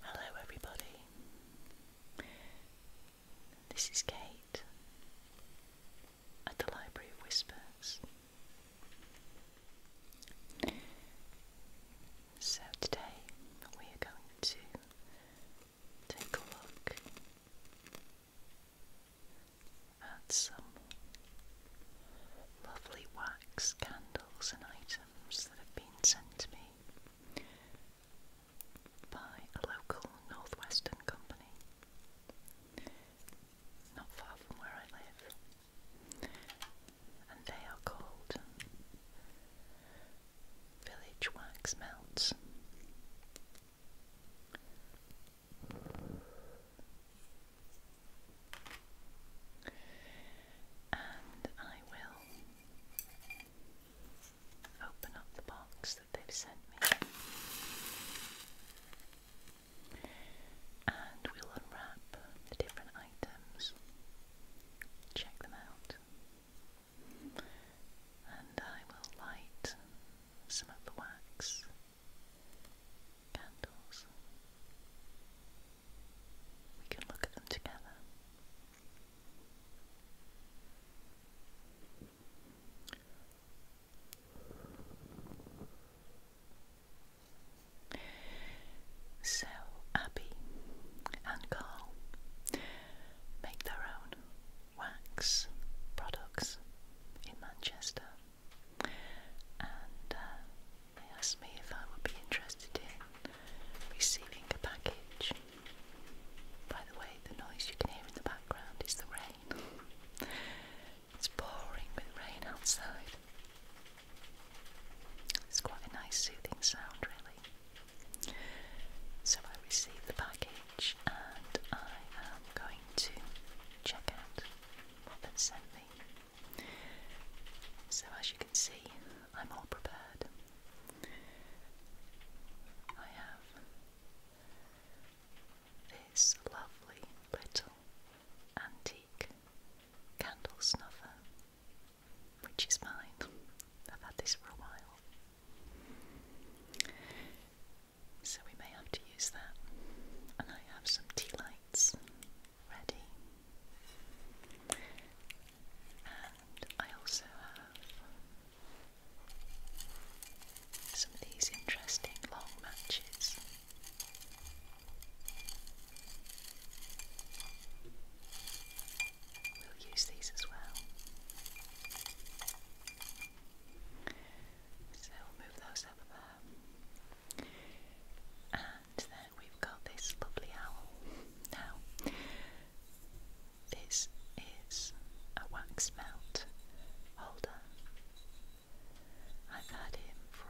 Hello, everybody. This is Kate at the Library of Whispers. So, today we are going to take a look add some lovely wax candles and items that have been sent to me by a local northwestern company not far from where I live and they are called Village Wax Melts and I will open up the box that they've sent me. And we'll unwrap the different items, check them out, and I will light some of the wax candles. We can look at them together. So, Abby and Carl make their own wax products in Manchester and uh, they asked me if I would be interested in receiving a package. By the way, the noise you can hear in the background is the rain. it's pouring with rain outside. It's quite a nice soothing sound, really. So I received the package and I am going to check out what they sent me. So, as you can see, I'm all prepared. I have this lovely little antique candle snuffer, which is mine. I've had this for a while so we may have to use that. And I have some tea lights ready. And I also have some of these interesting long matches. We'll use these as well. So we'll move those up there. And then we've got this lovely owl. Now, this is a wax melt holder. I've had him for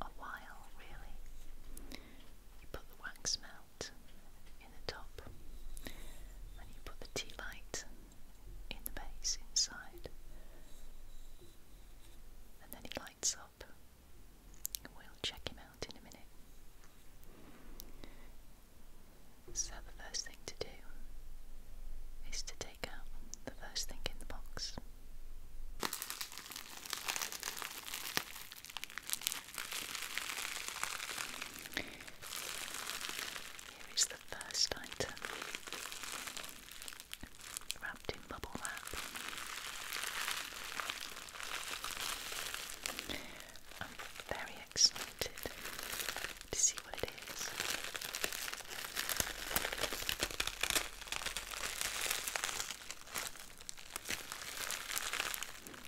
a, while, really. You put the wax melt in the top, and you put the tea light in the base inside and then he lights up. We'll check him out in a minute. So, the first thing to do is to take out the first thing in the box. Here is the first item wrapped in bubble wrap. I'm very excited to see what it is.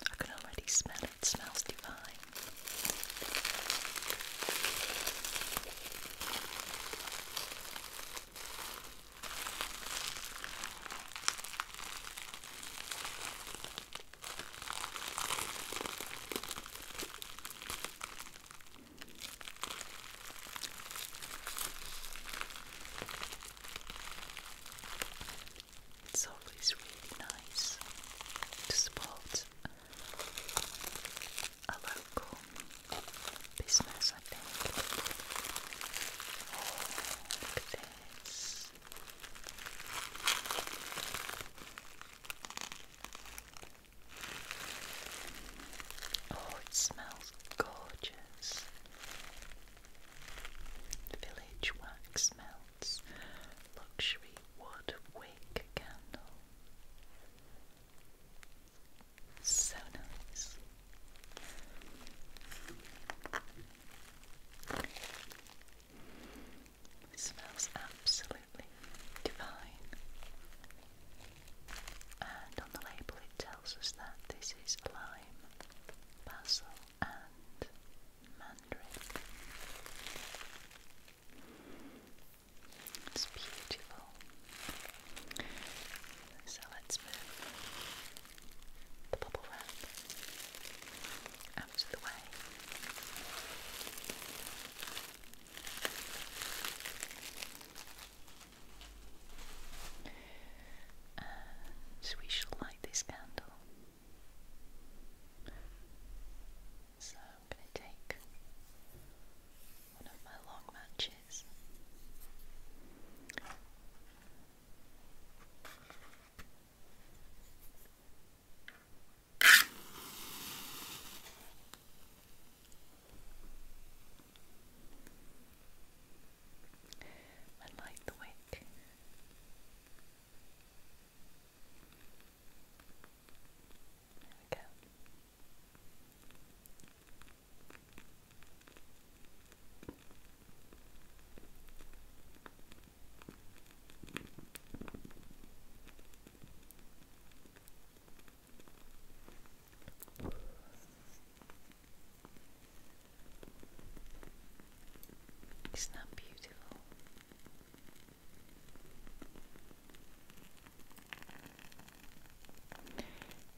I can already smell it, smells divine. It's always really nice to support a local business, I think. Oh, this. Oh, it smells gorgeous. Village wax melts. Luxury wood wick candle. So nice. It smells absolutely divine. And on the label it tells us that this is lime, basil and mandarin. It's beautiful. So let's move the bubble wrap out of the way. And we shall light this candle. So I'm going to take one of my long matches. I light the wick. There we go. Isn't that beautiful?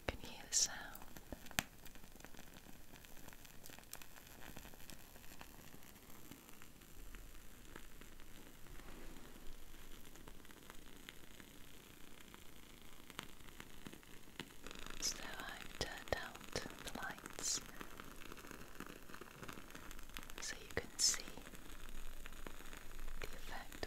Can hear the sound? So I've turned out the lights so you can see the effect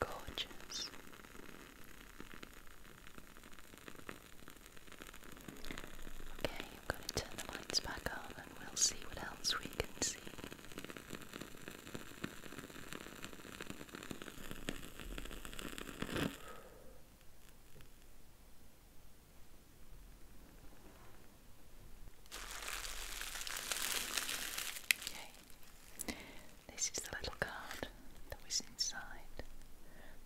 Gorgeous. Okay, I'm going to turn the lights back on and we'll see what else we can see. Okay, this is the little card that was inside.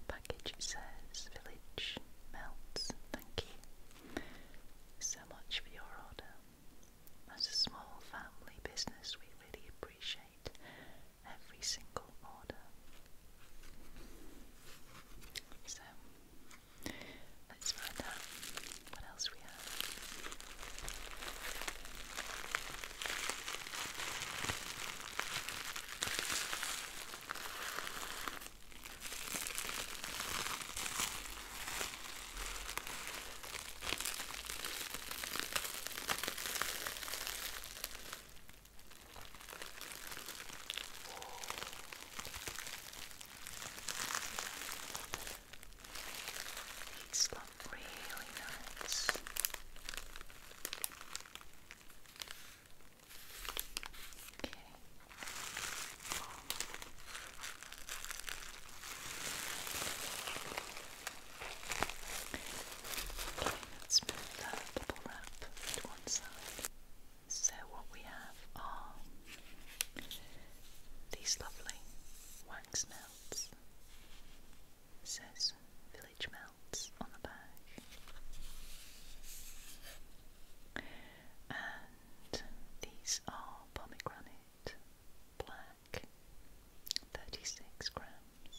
Package says Village Melts. Thank you so much for your order. As a small family business, we really appreciate every single order. So, let's find out what else we have? These look really nice. Okay. Okay, let's wrap to one side. So, what we have are these lovely wax melts. Melts. It says Village Melts on the back. And these are pomegranate black, 36 grams.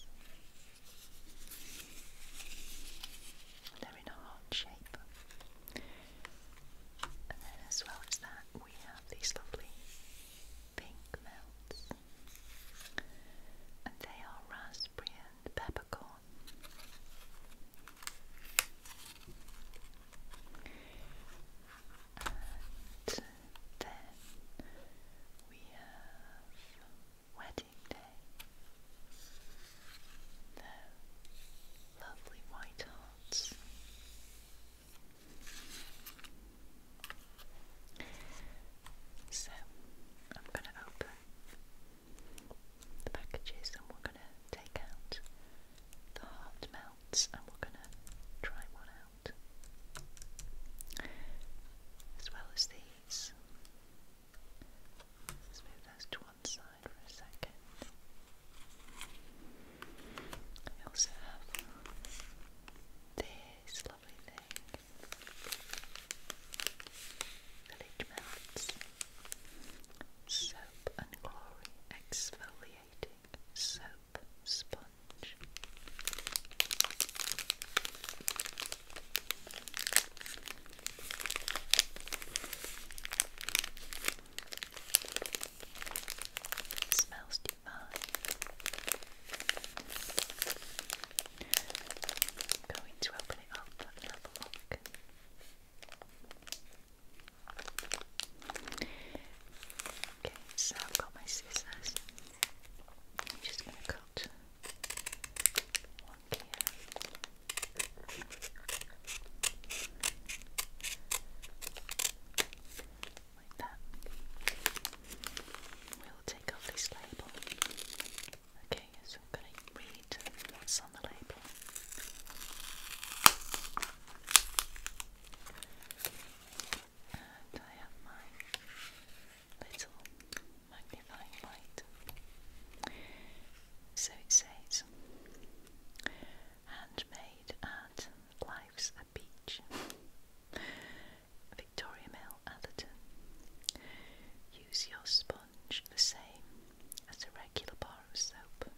They're in a heart shape. And then, as well as that, we have these lovely pink melts. And they are raspberry and peppercorn. And then we have wedding day. The lovely white hearts so I'm going to open the packages and we're going to take out the hard melts and we're going to try one out as well as these. Let's move those to one side for a second. I also have this lovely thing Village Melts Soap and Glory Exfoliating Soap Sponge. It smells divine. i going to open it up and a look. Okay, so I've got my scissors. I'm just going to cut one here like that. We'll take off this label. Okay, so I'm going to read what's on the label. And I have my little magnifying light. So it says, handmade at Life's Beach, Victoria Mill, Atherton. Use your sponge the same as a regular bar of soap,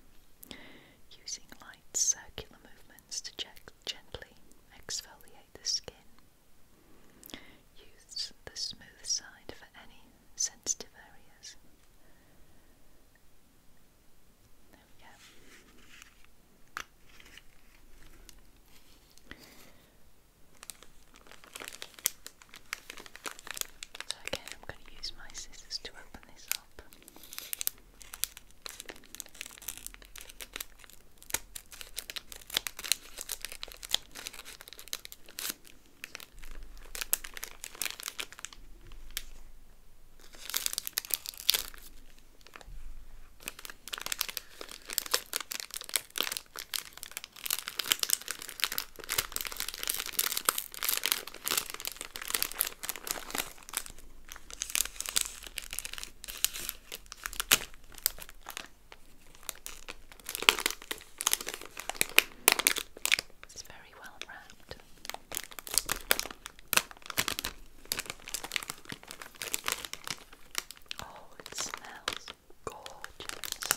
using light circular movements to gently exfoliate the skin. Use the smooth side for any sensitive areas. There we So again, I'm going to use my scissors to open this up. It's very well wrapped. Oh, it smells gorgeous.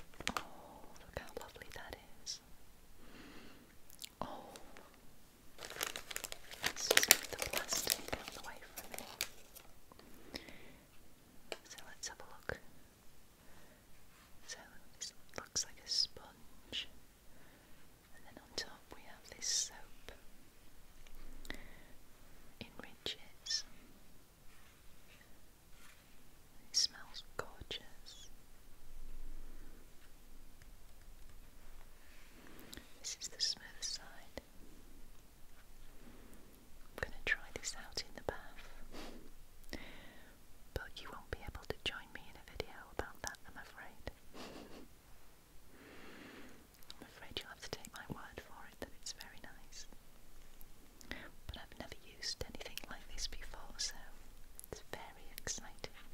Oh, look how lovely that is. Oh, let's just get the plastic out of the way So let's have a look. So this looks like a sponge, and then on top we have this soap in smells gorgeous. This is the smooth side. I'm going to try this out in the bath but you won't be able to join me in a video about that, I'm afraid. I'm afraid you'll have to take my word for it that it's very nice. But I've never used anything like this before, so it's very exciting.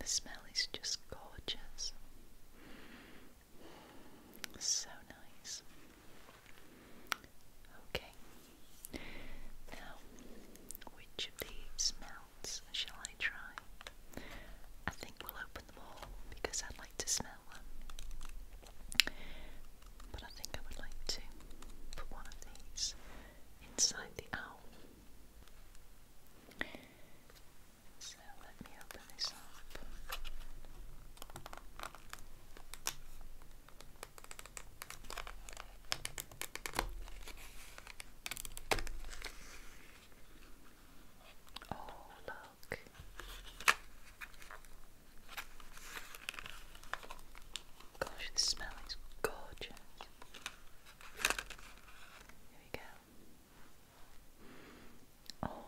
The smell is just gorgeous. So nice. Okay. Now, which of these melts shall I try? I think we'll open them all because I'd like to smell them. But I think I would like to put one of these inside the owl. So let me open this up. Oh, look. Gosh, the smell is gorgeous. Here we go. Oh,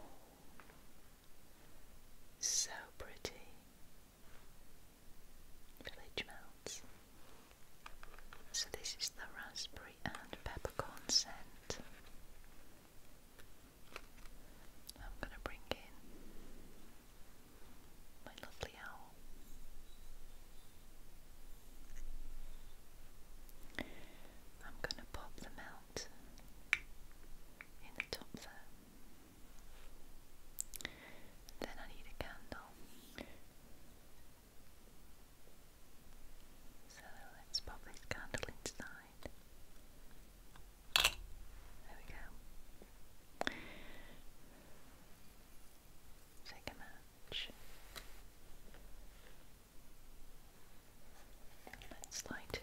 so pretty. Village Melts. So this is the raspberry and peppercorn scent. I'm going to bring in my lovely owl. I'm going to pop the melt in the top there. Then I need a candle. So let's pop this candle inside. There we go. Take match. Let's light it.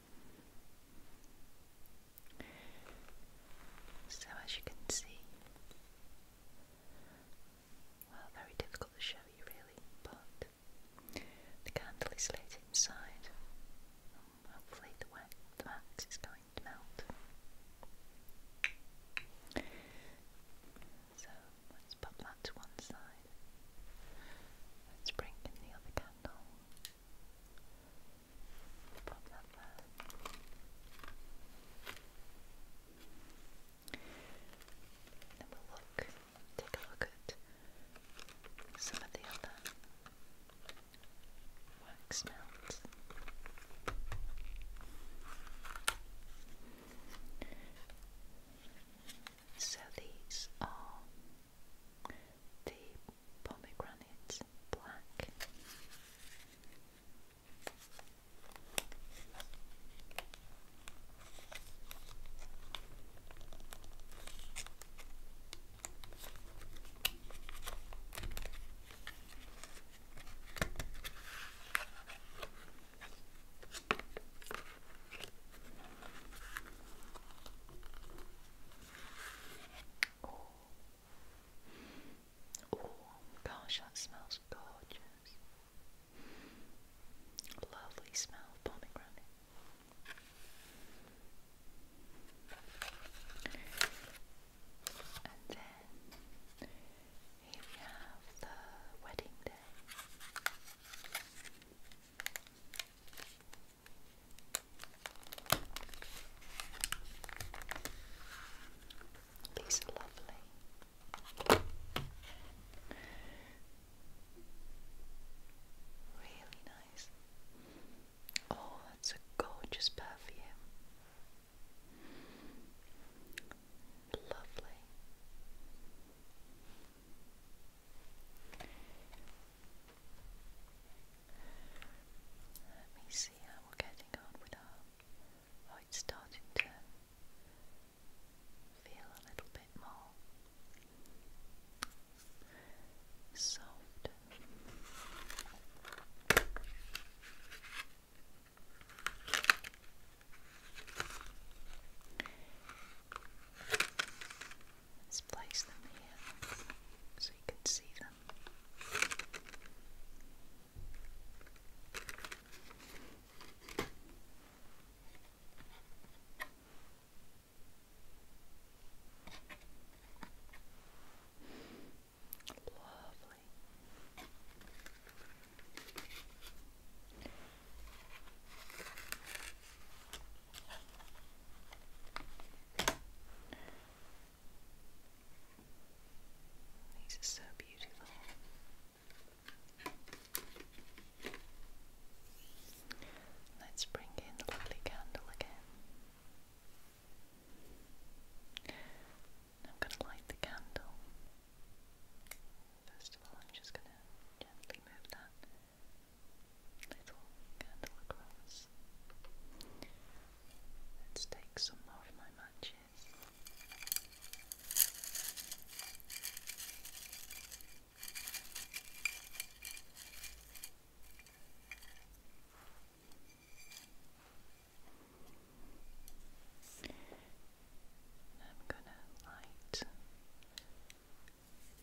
So, as you can see, well, very difficult to show you really, but the candle is lit inside. Hopefully, the wax is going to melt. So, let's pop that to one side. Let's bring in the other candle. Pop that take a look at some of the other wax melts. So these are the pomegranate black. Oh, oh gosh, that smells gorgeous. Lovely smell of pomegranate. And then here we have the wedding day. These are lovely. Really nice. Oh, that's a gorgeous perfume. Lovely. Let me see how we're getting on with our. Oh, it's starting to feel a little bit more soft. Let's place them here so you can see them. Lovely. These are so beautiful. Let's bring in the lovely candle again. I'm going to light the candle. First of all, I'm just going to gently move that little candle across. Let's take some more my matches. I'm going to light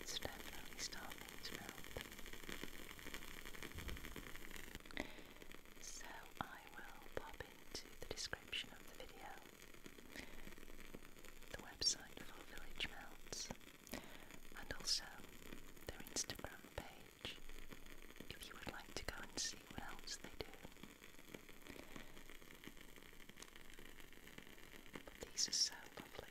It's definitely starting to melt. So I will pop into the description of the video the website for Village Melts, and also their Instagram page if you would like to go and see what else they do. these are so lovely.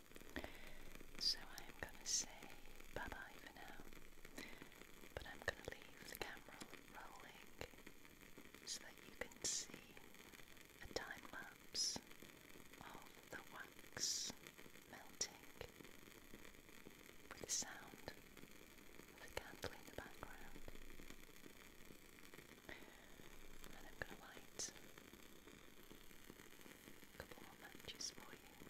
So I am going to say bye bye for now, but I'm going to leave the camera rolling so that you can see a time lapse of the wax melting with the sound of the candle in the background. I'm going to light a couple more matches for you. Right,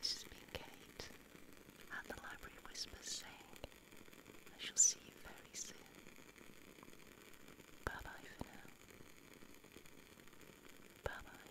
This has been Kate at the Library Whispers saying, I shall see you very soon. Bye bye for now. Bye bye.